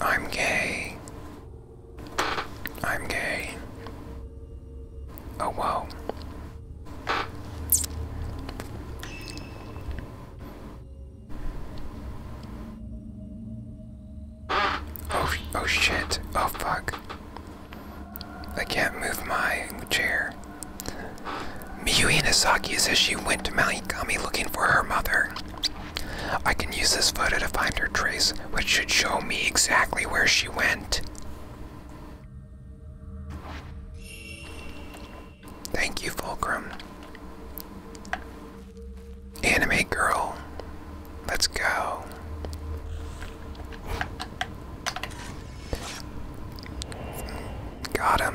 I'm gay. I'm gay. Oh, whoa. Oh, oh shit. Oh, fuck. I can't move my chair. Miyu Inazaki says she went to Malikami looking for her mother. I can use this photo to find her trace, which should show me exactly where she went. Thank you, Fulcrum. Anime girl, let's go. Got him.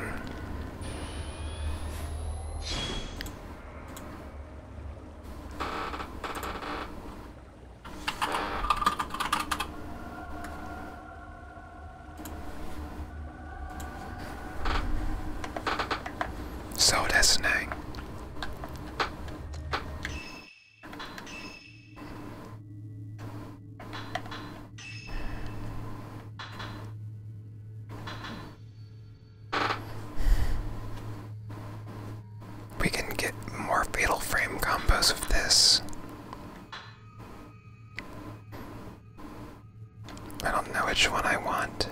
So that's nang. We can get more Fatal Frame combos of this. I don't know which one I want.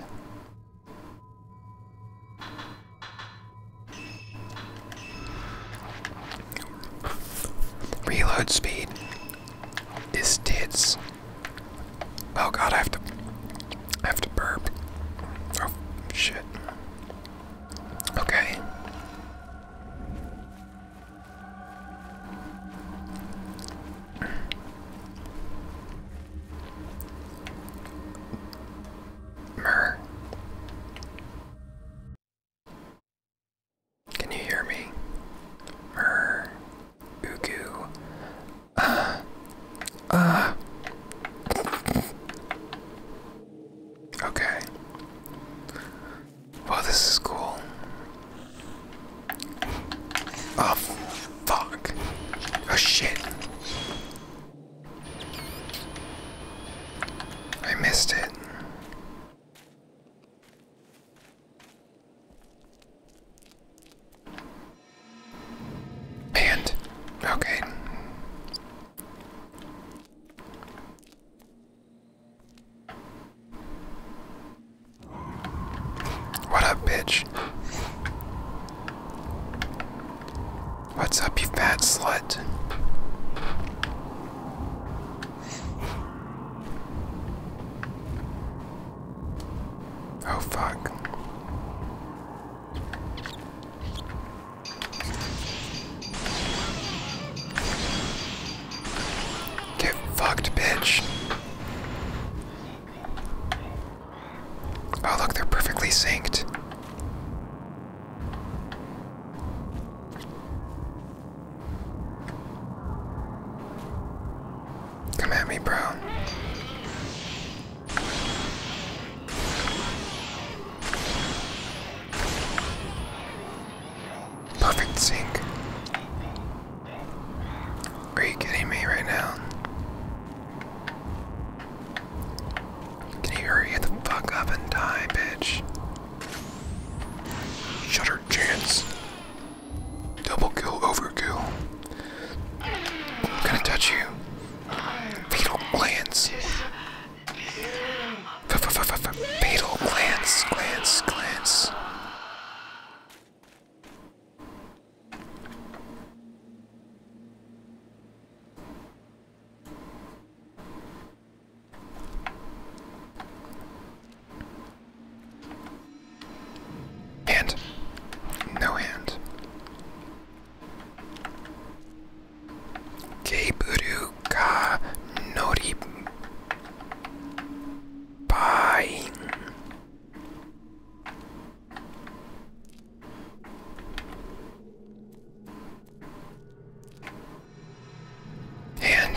Reload speed is tits. Oh god, I have to I have to burp. Oh shit. Okay. Mer. Can you hear me? Mer. Ugu. Uh, uh. Okay. Well, this is cool. Oh, fuck. Oh, shit. I missed it. Banned. Okay. What up, bitch? What's up, you fat slut? Oh fuck. Get fucked, bitch. Oh, look, they're perfectly synced. Come at me, bro. Perfect sync. Are you kidding me right now? Can you hurry the fuck up and die, bitch? Shut her chance. Double kill, overkill. I'm gonna touch you. Fatal glance. F -f -f -f -f fatal glance, glance, glance. And no hand. Keiburu ka nori pain. And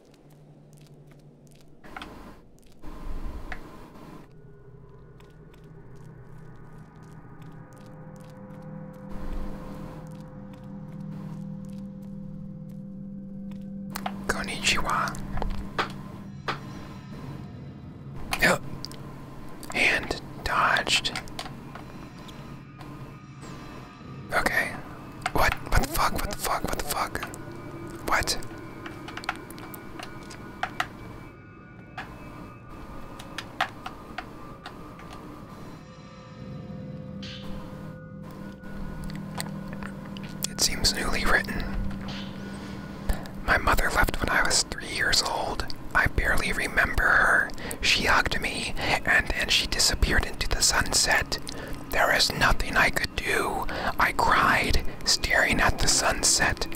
Konnichiwa. Yep, And dodged. Okay. What? What the fuck? What the fuck? What the fuck? What? It seems newly written. My mother left when I was three years old. I barely remember her. She hugged me, and then she disappeared into the sunset. There is nothing I could do, I cried, staring at the sunset.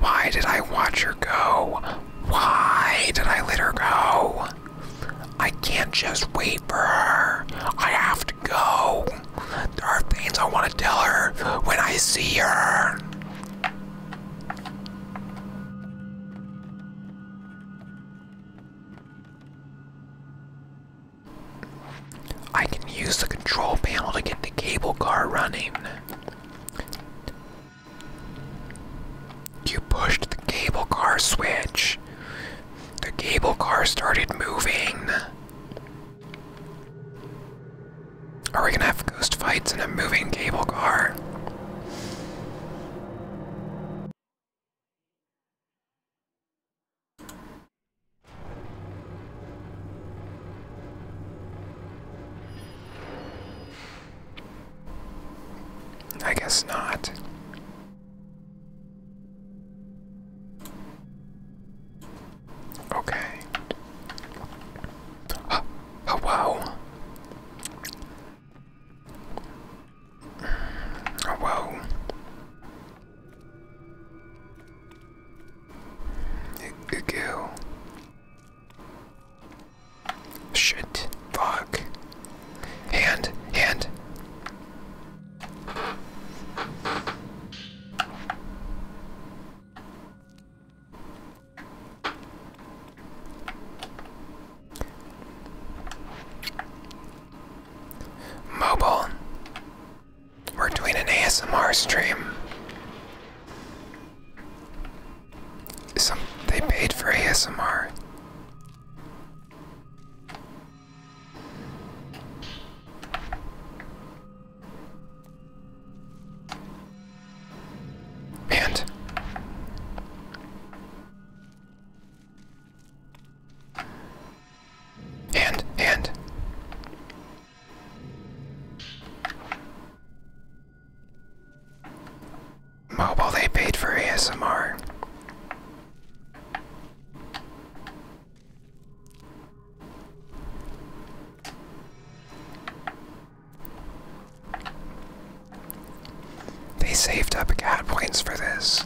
Why did I watch her go? Why did I let her go? I can't just wait for her. I have to go. There are things I want to tell her when I see her. I can use the control panel to get the cable car running. You pushed the cable car switch. The cable car started moving. Are we gonna have ghost fights in a moving cable car? I guess not. Okay. Oh, oh wow. Oh, whoa. Go. Shit. Fuck. Hand. Hand. Mobile. We're doing an ASMR stream. they paid for ASMR. And and, and. Mobile, they paid for ASMR. They saved up cat points for this.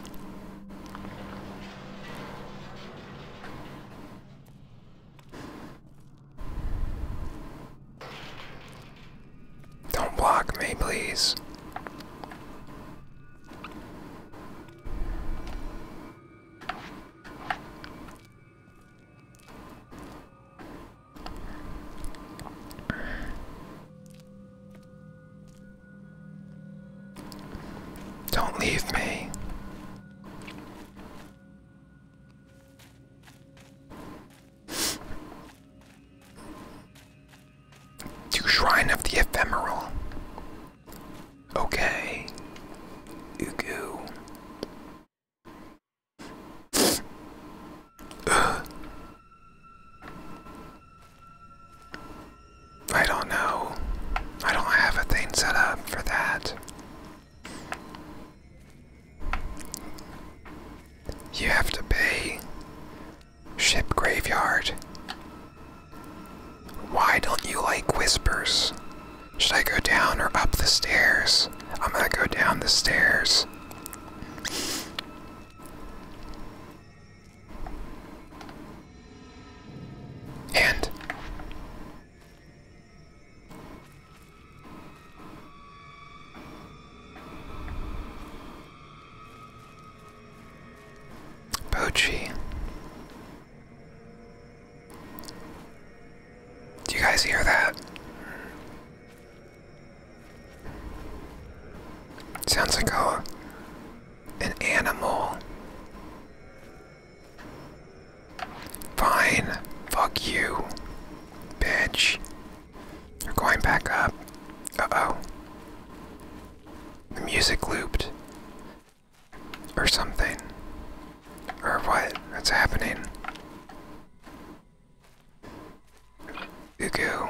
Don't block me, please. Don't leave me. To Shrine of the Ephemeral. Okay. Ugu. Ugh. I don't know. I don't have a thing set up for that. You have to pay Ship Graveyard. Why don't you like whispers? Should I go down or up the stairs? I'm gonna go down the stairs. And Bochi. Do you guys hear that? Sounds like a, an animal Fine. Fuck you. Bitch. You're going back up. Uh oh. The music looped. Or something. Or what? That's happening. You goo.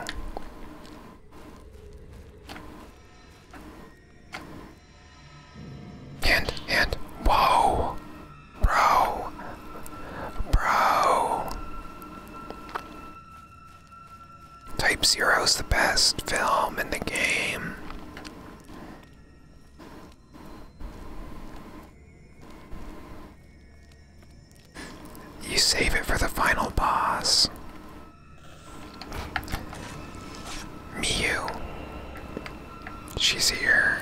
And, and, whoa! Bro! Bro! Type Zero's the best film in the game. You save it for the final boss. Miyu. She's here.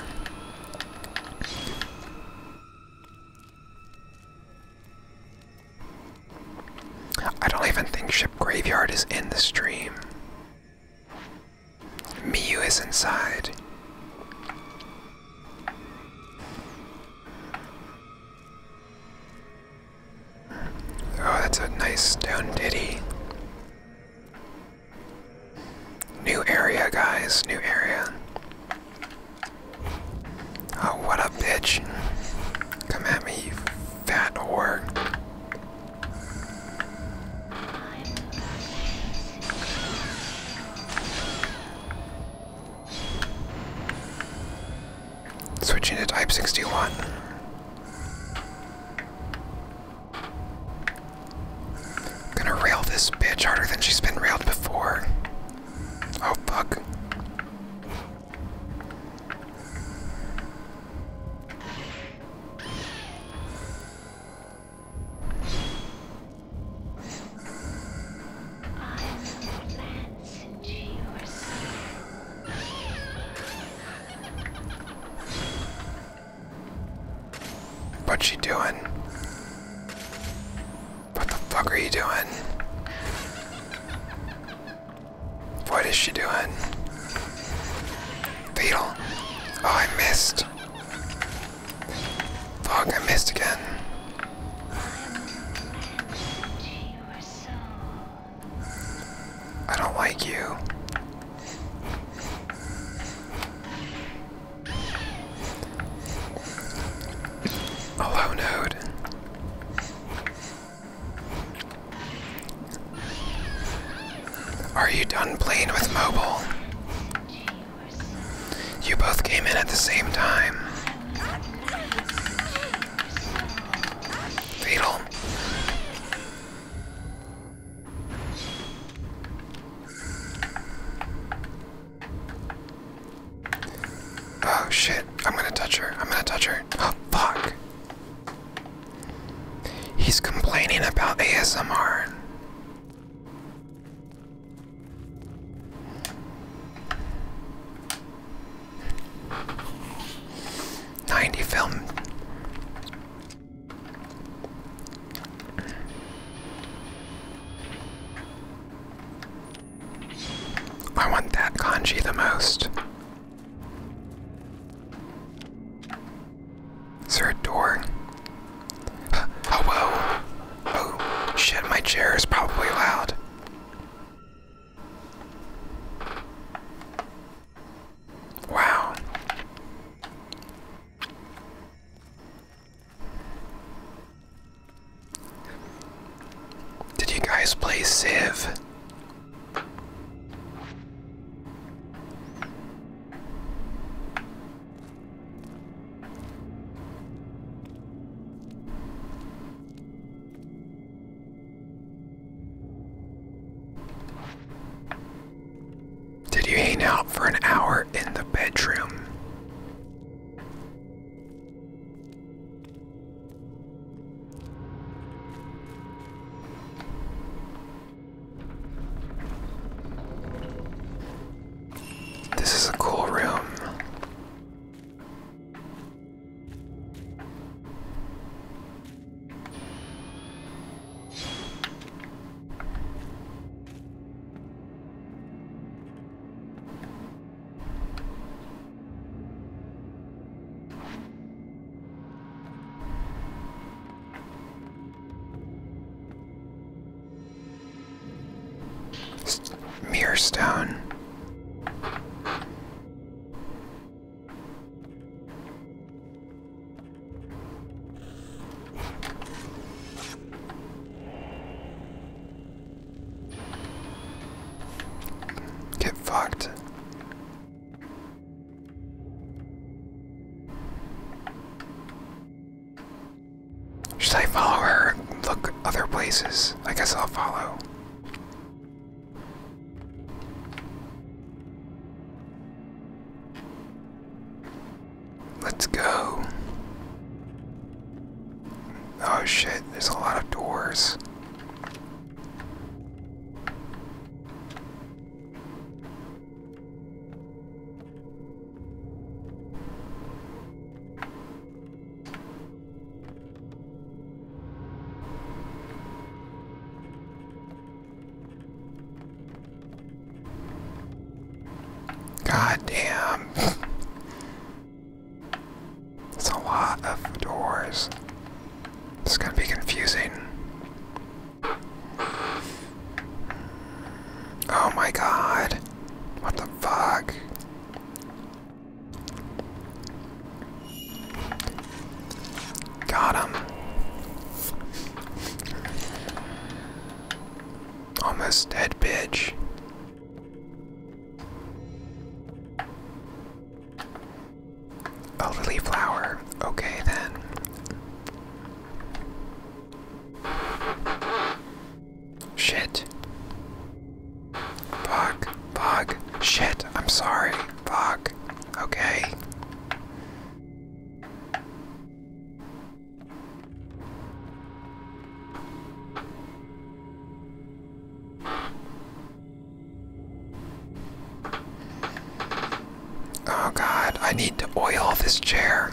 I don't even think Ship Graveyard is in the stream. Miyu is inside. Oh, that's a nice stone ditty. New area, guys. New area. Oh, what a bitch. Come at me, fat whore. Switching to Type 61. Gonna rail this bitch harder than she's been railed before. Oh fuck. What you doing? What the fuck are you doing? What is she doing? Beetle. Oh, I missed. Fuck, I missed again. I don't like you. Hello, node. Are you done playing with mobile? You both came in at the same time. Fatal. Oh shit, I'm gonna touch her. I'm gonna touch her. Oh, fuck. He's complaining about ASMR. Ninety film. I want that kanji the most. Is there a door? Oh, whoa. Oh, shit, my chair is probably loud. Wow. Did you guys play Civ? Did you hang out for an hour in the bedroom? This is a cool room. Mirror stone. Get fucked. Should I follow her and look other places? I guess I'll follow. Let's go. Oh shit, there's a lot of doors. God damn. It's a lot of doors. It's gonna be confusing. Oh my god. What the fuck? Got him. Almost dead, bitch. A lily flower. Okay, then. Shit. Fuck. Fuck. Shit. I'm sorry. Fuck. Okay. Oh god, I need to oil this chair.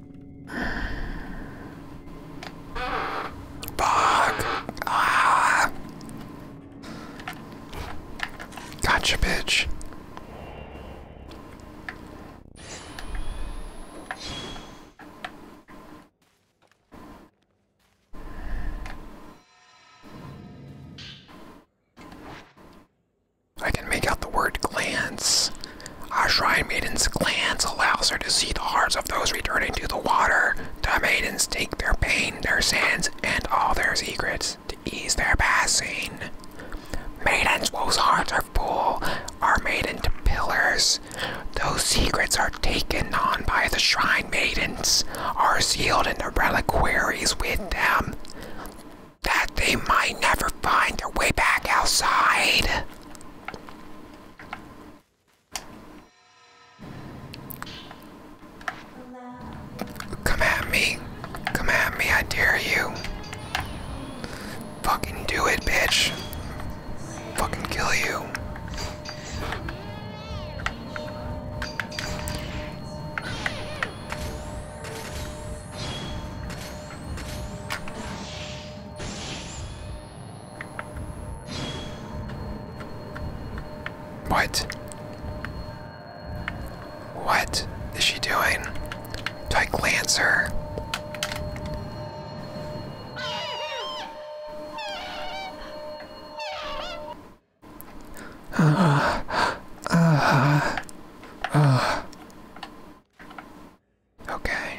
Fuck. Ah. Gotcha, bitch. I can make out the word glance. Our shrine maiden's glance allows her to see the hearts of those returning to the water. The maidens take their pain, their sins, and all their secrets to ease their passing. Maidens whose hearts are full are made into pillars. Those secrets are taken on by the shrine maidens, are sealed in the reliquaries with them, that they might never find their way back outside. Come at me. Come at me, I dare you. Fucking do it, bitch. Fucking kill you. What? What is she doing? Do I glance her? Uh, uh, uh. Okay.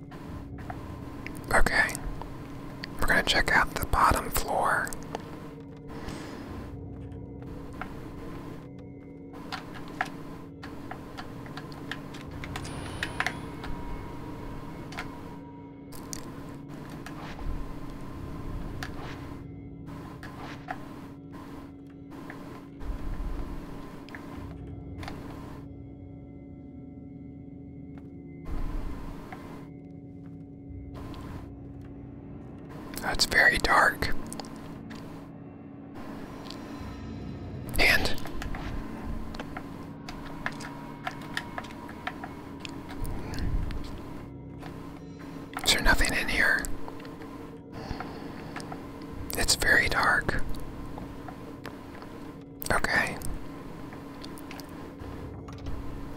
Okay. We're going to check out the bottom floor. That's very dark. And is there nothing in here? It's very dark. Okay.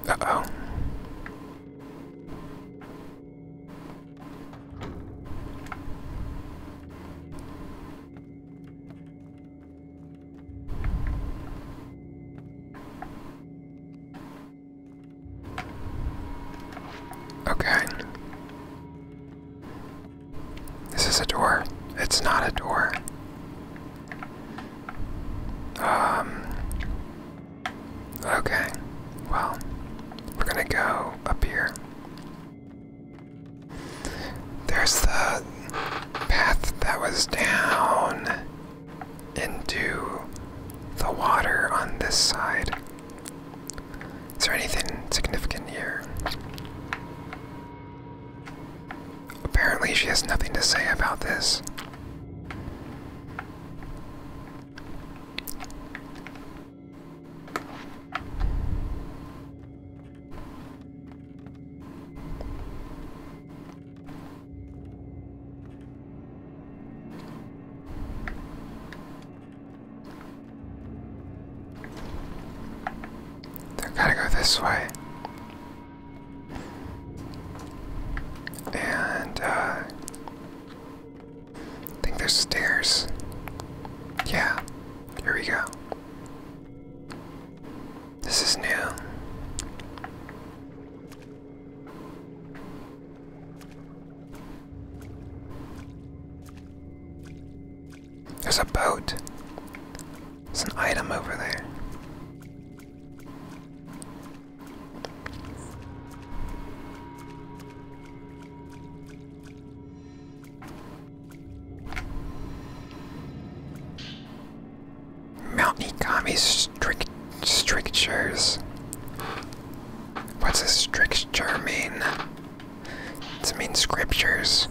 Uh oh. Okay. This Is a door? It's not a door. Um. Okay. Well, we're gonna go up here. There's the path that was down into the water on this side. Is there anything significant here? Apparently, she has nothing to say about this. They're gotta go this way. And, uh, I think there's stairs. Yeah, here we go. This is new. There's a boat. There's an item over there. Mount Nikami strict strictures. What's a stricture mean? Does it mean scriptures?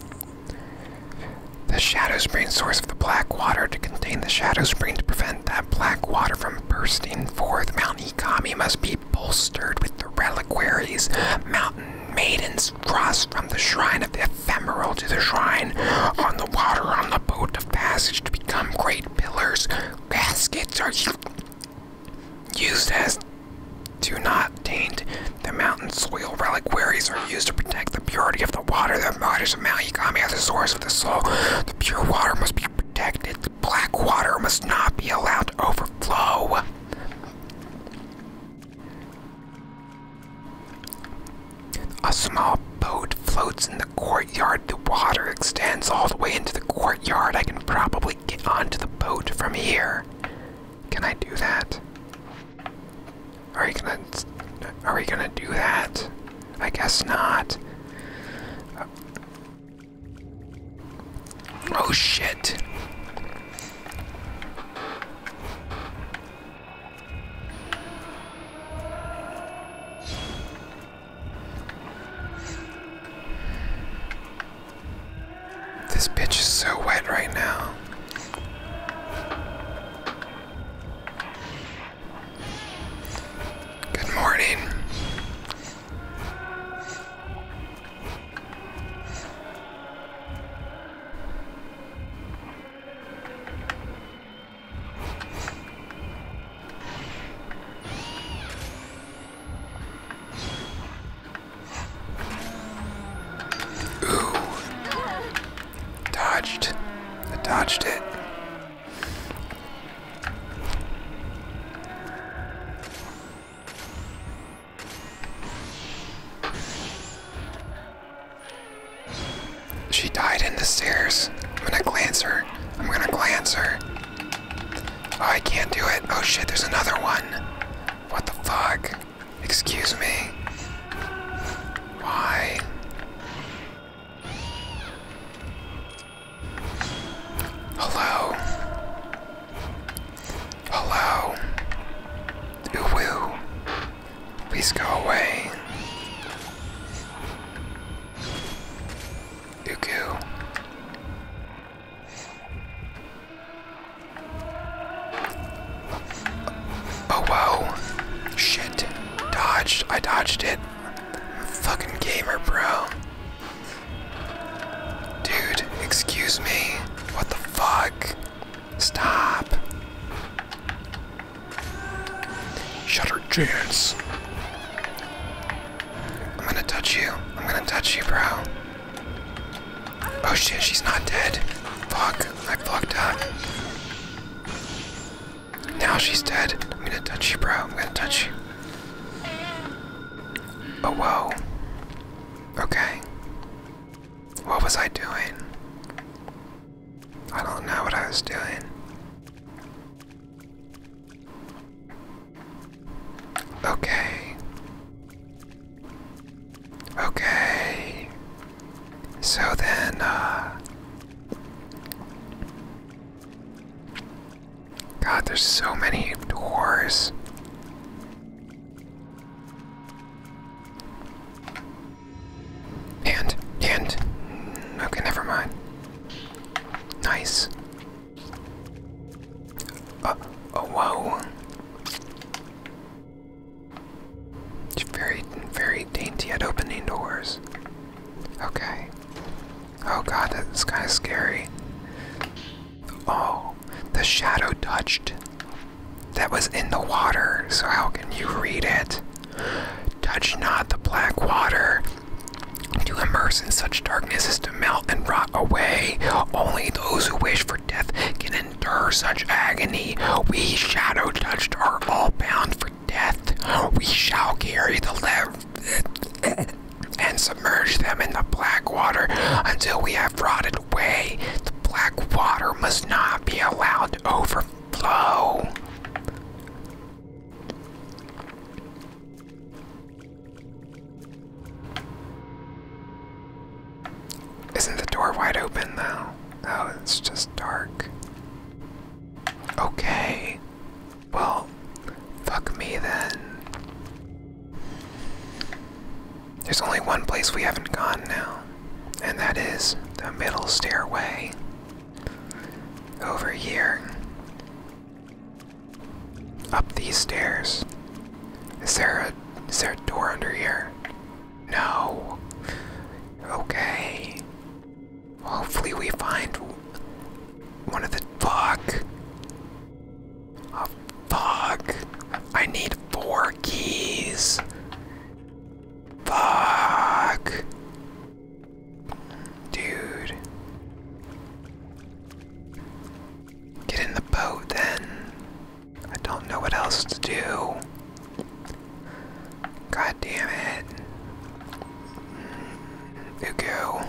The shadow spring source of the black water to contain the shadow spring to prevent that black water from bursting forth. Mount Ikami must be bolstered with the reliquaries, mountain maidens cross from the shrine of the ephemeral to the shrine on the water on the boat of passage to become great pillars. Gaskets are used as to not obtained. The mountain soil reliquaries are used to protect the purity of the water that waters of Mount Yagami as the source of the soul. The pure water must be protected. The black water must not be allowed to overflow. A small boat floats in the courtyard. The water extends all the way into the courtyard. I can probably get onto the boat from here. Can I do that? Are we gonna? Are we gonna do that? I guess not. oh shit! This bitch is so wet right now. Good morning. Ooh. Dodged. I dodged it. She died in the stairs. I'm gonna glance her. I'm gonna glance her. Oh, I can't do it. Oh shit, there's another one. What the fuck? Excuse me. Why? Hello. Hello. Ooh Please go away. Uku. Oh, whoa. Shit. Dodged. I dodged it. Fucking gamer, bro. Dude, excuse me. What the fuck? Stop. Shutter chance. I'm gonna touch you. I'm gonna touch you, bro. Oh shit, she's not dead. Fuck, I fucked up. Now she's dead. I'm gonna touch you, bro. I'm gonna touch you. Oh, whoa. Okay. What was I doing? I don't know what I was doing. Okay. Okay. So then, uh. God, there's so many doors. And, and. Okay, never mind. Nice. Uh, oh, whoa. It's very, very dainty at opening doors. Okay. Oh god, that's kind of scary. Oh, the shadow touched. That was in the water, so how can you read it? Touch not the black water. To immerse in such darkness is to melt and rot away. Only those who wish for death can endure such agony. We shadow touched are all bound for death. We shall carry the lev and submerge them in the black water until we have rotted away. The black water must not be allowed to overflow. Isn't the door wide open now? Oh, it's just dark. Okay. Well, fuck me then. There's only one place we haven't gone now, and that is the middle stairway. Over here. Up these stairs. Is there a, is there a door under here? No. Okay. Hopefully we find one of the fuck. Oh, fuck. I need four keys. Fuck. Dude. Get in the boat then. I don't know what else to do. God damn it. Mm, Ugo.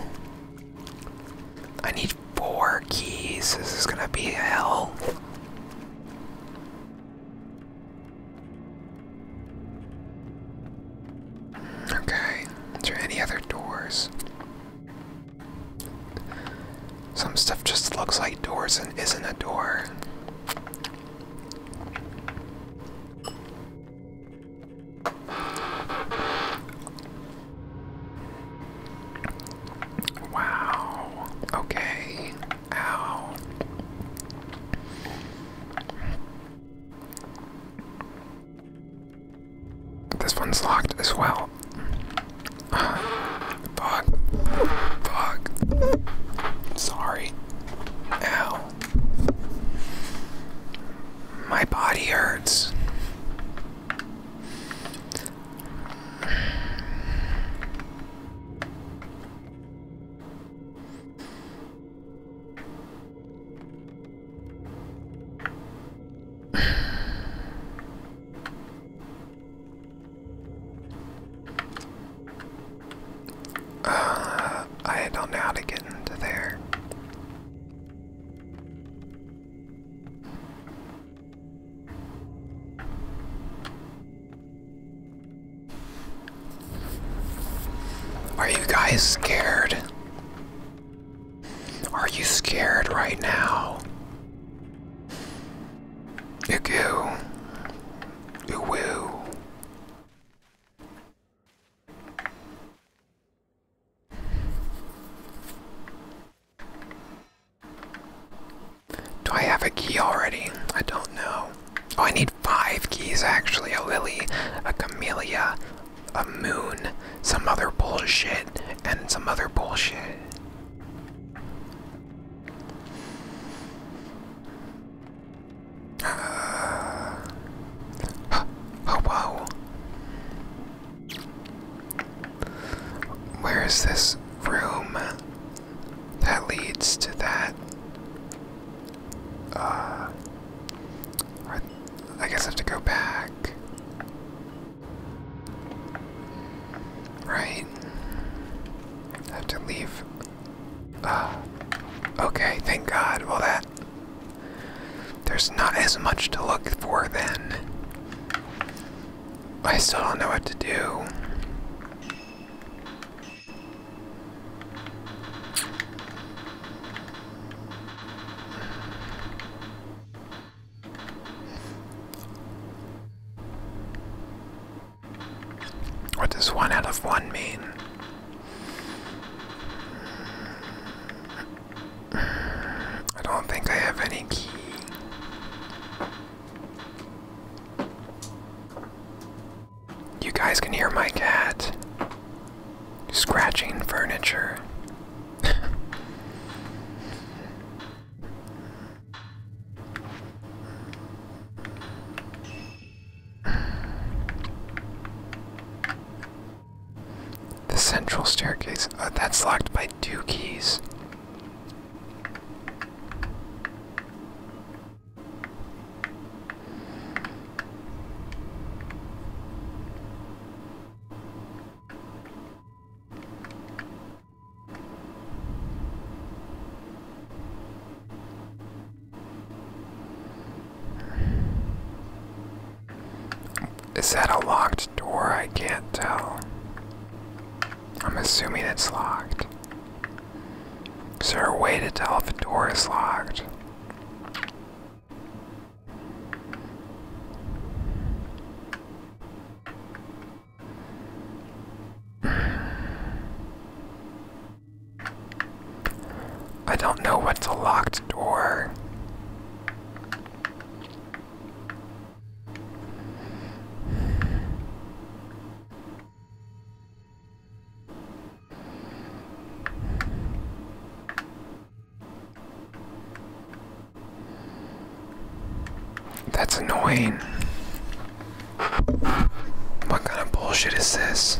I need four keys. This is gonna be hell. Okay. Is there any other doors? Some stuff just looks like doors and isn't a door. Wow. Okay. Ow. This one's locked as well. Fuck. Fuck. Sorry. Ow. My body hurts. Uh, I don't know how to get into there. Are you guys scared? Are you scared right now? Ick ew. Ew. Do I have a key already? I don't know. Oh, I need five keys actually a lily, a camellia, a moon, some other bullshit, and some other bullshit. oh wow. Where is this room that leads to that? Uh, I guess I have to go back. Right? I have to leave uh, okay, thank God. Well, that. There's not as much to look for then. I still don't know what to do. What does one out of one mean? I don't think I have any key. You guys can hear my cat scratching furniture. The central staircase. Uh, that's locked by two keys. Is that a locked door? I can't tell. I'm assuming it's locked. Is there a way to tell if a door is locked? I don't know what's a locked door. That's annoying. What kind of bullshit is this?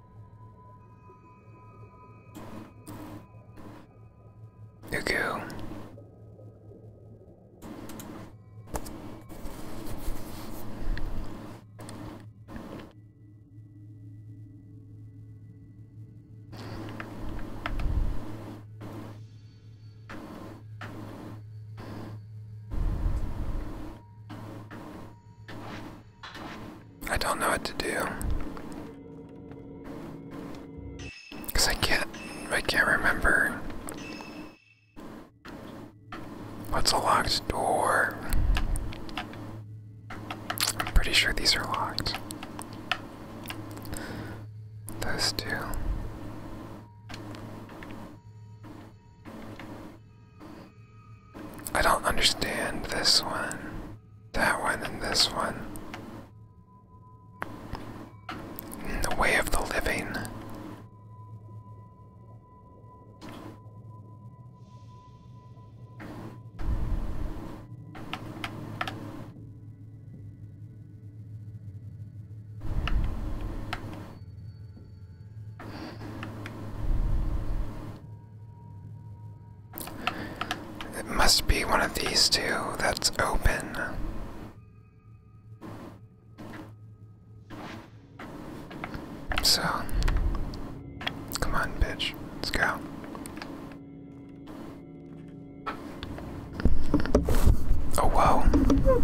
Ugu. I don't know what to do. Cause I can't, I can't remember. What's a locked door? I'm pretty sure these are locked. Those two. I don't understand this one, that one, and this one. In the way of the living. It must be one of these two that's open. So, come on, bitch, let's go. Oh, whoa.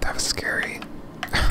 That was scary.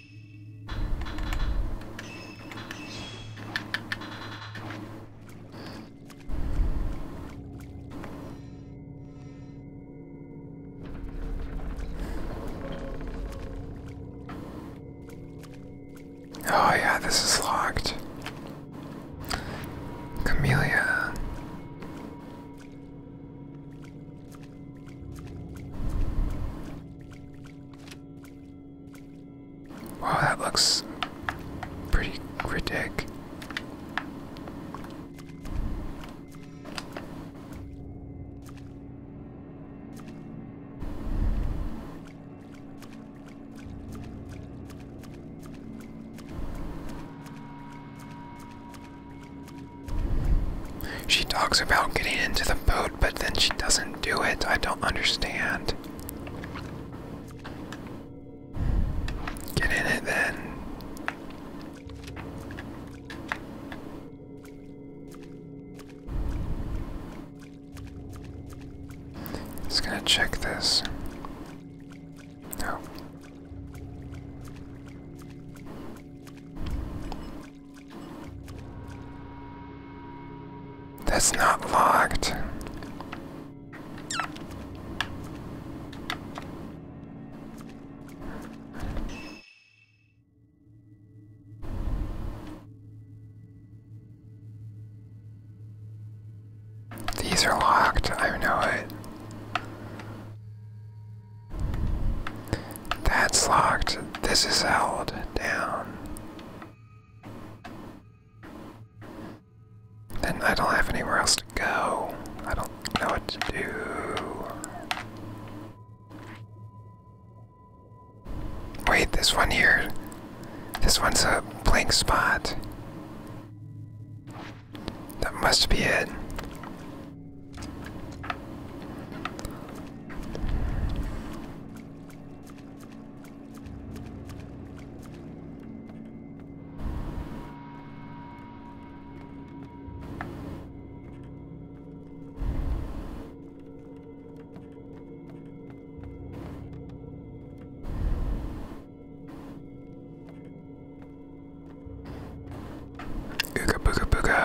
Oh, yeah, this is locked. Camellia. Wow, that looks pretty ridiculous. She talks about getting into the boat, but then she doesn't do it? I don't understand. Get in it then. Just gonna check this. No. That's not locked. These are locked, I know it. That's locked. This is held down. Then I don't have anywhere else to go. I don't know what to do. Wait, this one here. This one's a blank spot. That must be it.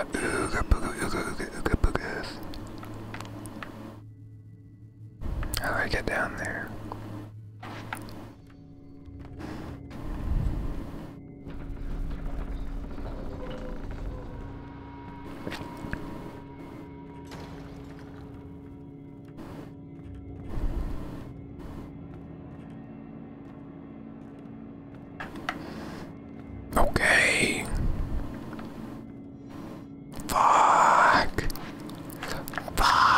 Ooga booga booga, ooga booga ooga ooga ooga boogas. How do I get down there? Okay. Fuck. Fuck.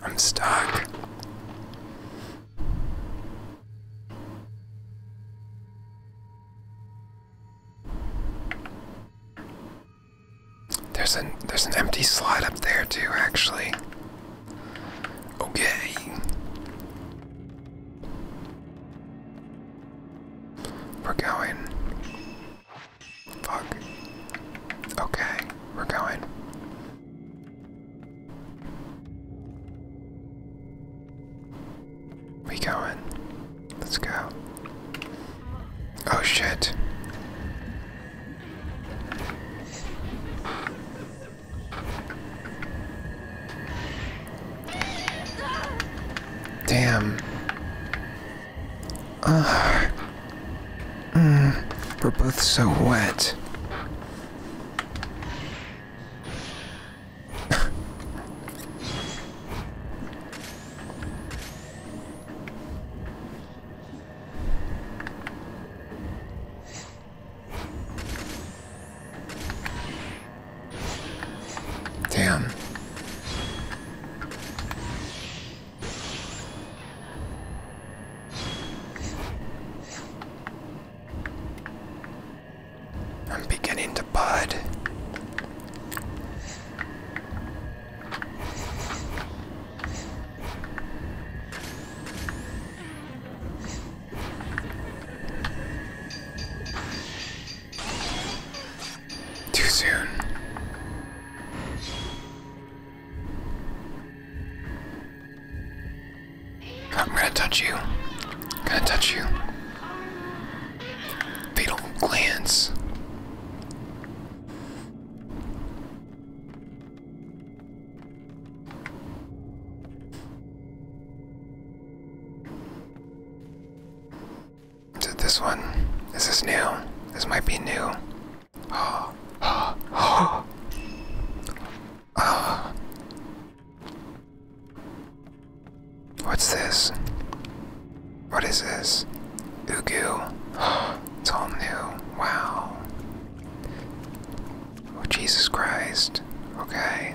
I'm stuck. There's an there's an empty slot up there too, actually. Okay. We're going. Fuck. Okay, we're going. We going. Let's go. Oh shit. Damn. Ugh. Mm, we're both so wet. Damn. I'm beginning to bud. Too soon. I'm gonna touch you. I'm gonna touch you. Fatal glance. Is it this one? This Is new? This might be new. Oh, oh, oh. Oh. What's this? What is this? Ugu. It's all new. Wow. Oh, Jesus Christ. Okay.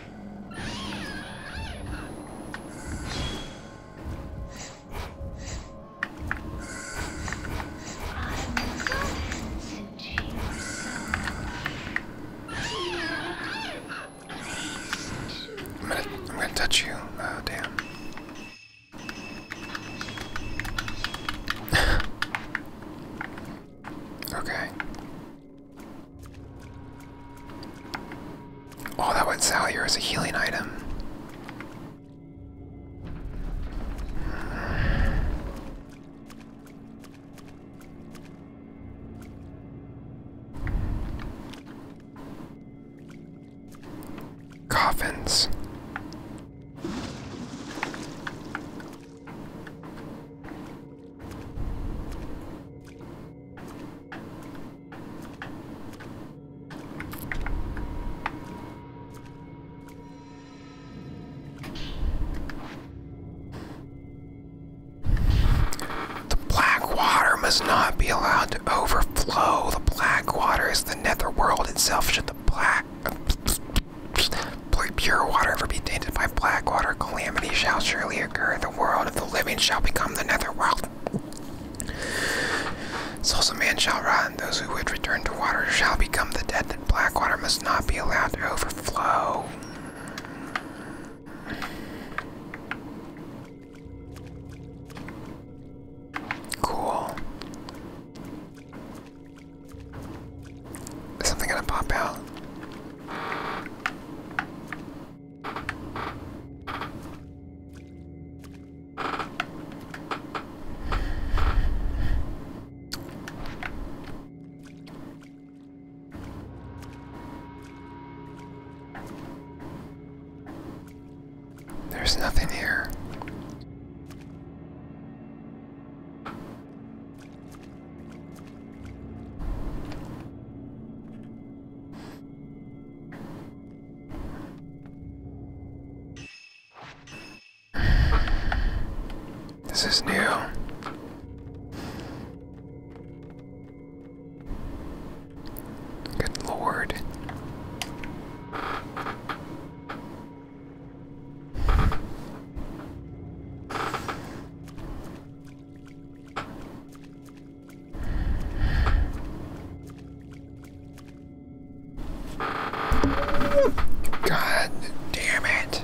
I'm gonna, I'm gonna touch you. Oh, damn. okay. Oh, that went here as a healing item. Coffins. The black water must not be allowed to overflow. The black water is the netherworld itself. Should the black pure water ever be tainted by black water, calamity shall surely occur. The world of the living shall become the netherworld. So some man shall rot, and those who would return to water shall become the dead, that black water must not be allowed to overflow. Cool. Is something gonna pop out? There's nothing here. This is new. Good lord. God damn it.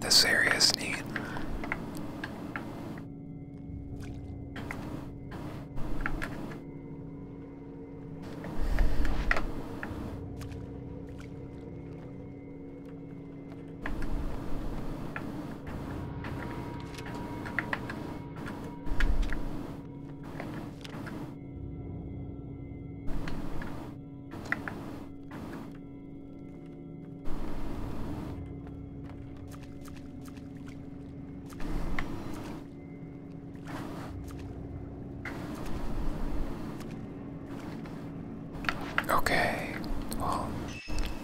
This area is neat. Okay, well,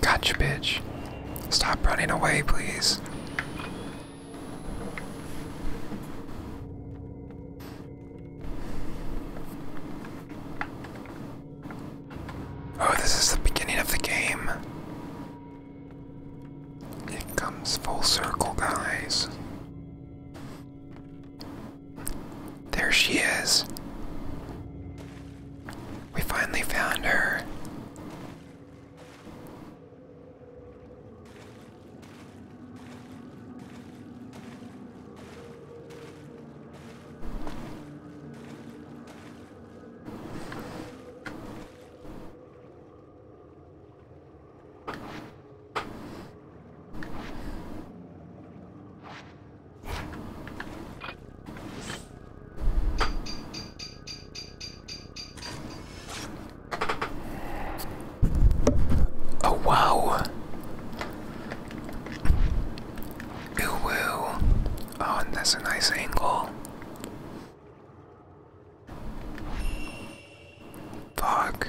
Gotcha, bitch. Stop running away, please. Oh, this is the beginning of the game. It comes full circle, guys. There she is. We finally found her. Oh wow! Ooh, woo! Oh, and that's a nice angle. Fuck.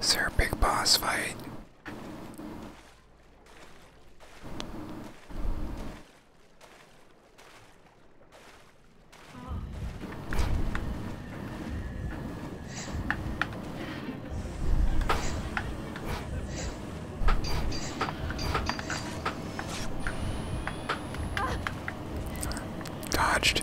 Is there a big boss fight? Dodged.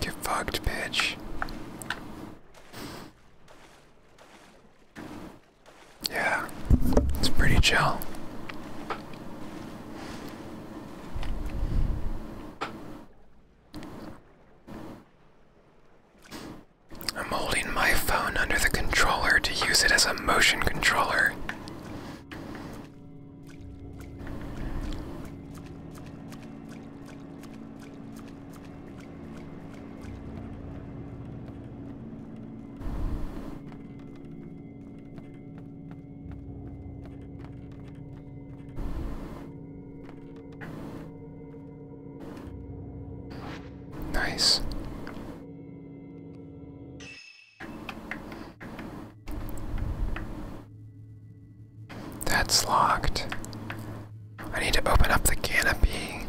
Get fucked, bitch. Yeah, it's pretty chill. I'm holding my phone under the controller to use it as a motion controller. Nice. That's locked. I need to open up the canopy.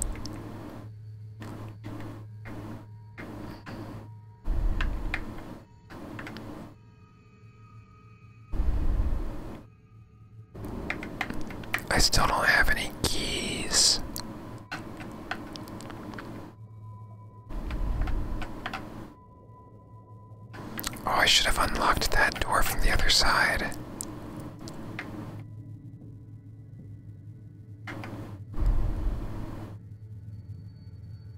I still don't have any keys. Oh, I should have unlocked that door from the other side.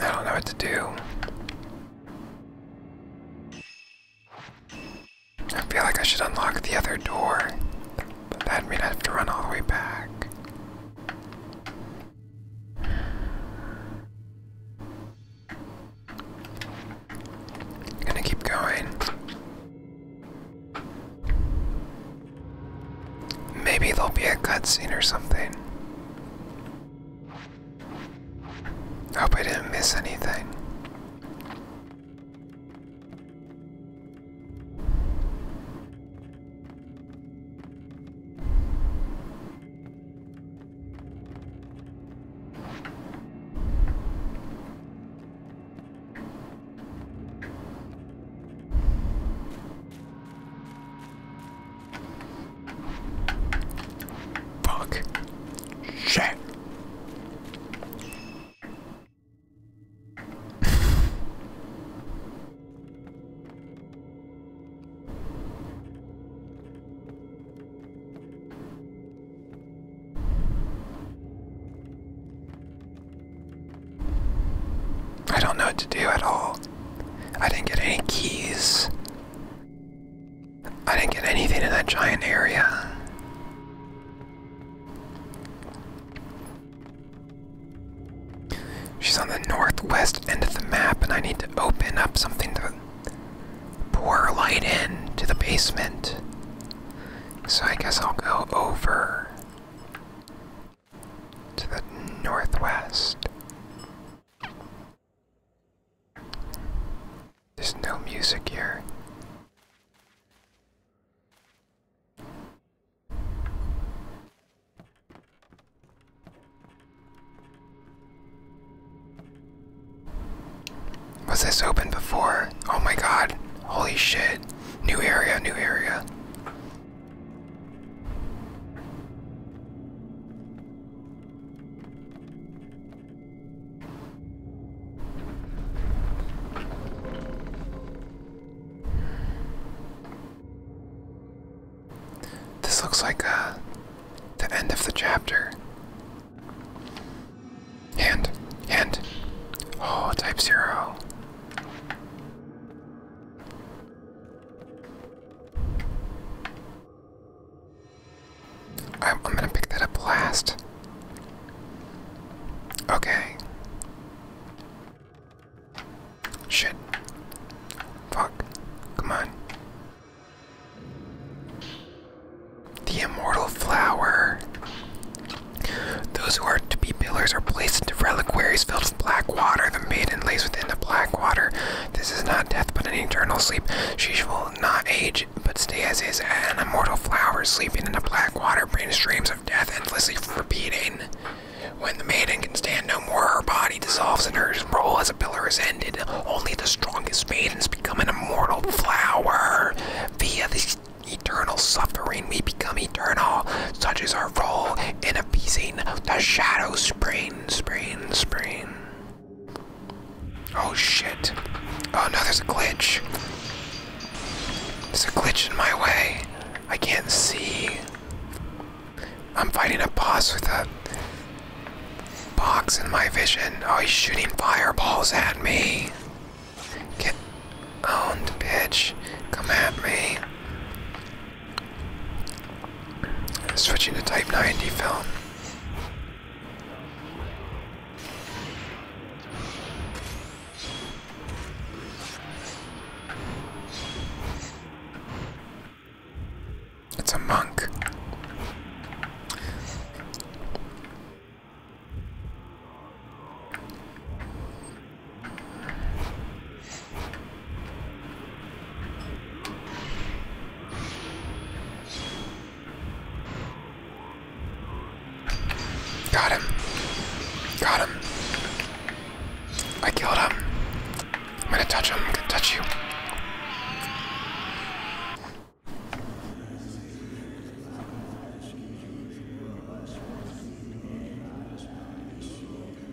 I don't know what to do. I feel like I should unlock the other door, but that'd mean I have to run all the way back. I'm gonna keep going. Maybe there'll be a cutscene or something. Hope I didn't miss anything. Fuck. Shit. I don't know what to do at all. I didn't get any keys. I didn't get anything in that giant area. She's on the northwest end of the map, and I need to open up something to pour light in to the basement. So I guess I'll go over to the northwest. There's no music here. Was this open before? Oh my god. Holy shit. New area, new area. This looks like uh, the end of the chapter. And, and Oh, type zero. I'm, gonna pick that up last. Okay. Shit. Fuck. Come on. The immortal flower. Those who are to be pillars are placed into reliquaries filled with black water. The maiden lays within the black water. This is not death, but an eternal sleep. She shall not age, but stay as is, an immortal flower, sleeping in the black water, brain streams of death, endlessly repeating. When the maiden can stand no more, her body dissolves and her role as a pillar is ended. Only the strongest maidens become an immortal flower. Via this eternal suffering, we become eternal. Such is our role in appeasing the shadow spring sprain, sprain. Oh shit. Oh no, there's a glitch. There's a glitch in my way. I can't see. I'm fighting a boss with a box in my vision. Oh, he's shooting fireballs at me. Get owned, bitch. Come at me. Switching to Type 90 film. It's a monk. Got him. Got him. I killed him. I'm gonna touch him. I'm gonna touch you.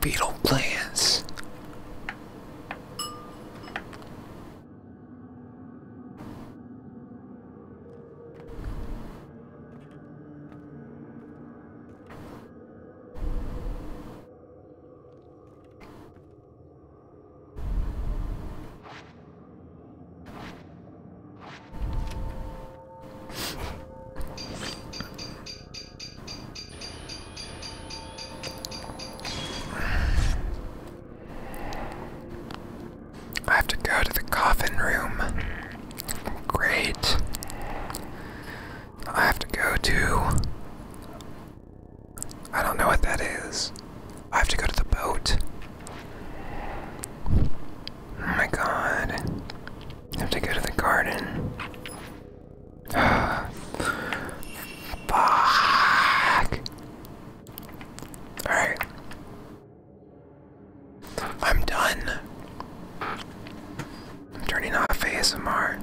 Beetle plants. I have to go to the coffin room. Great. I have to go to I don't know what that is. I have to go to the boat. Oh my god. I have to go to the garden. Fuck. Alright. I'm done. I'm turning off ASMR.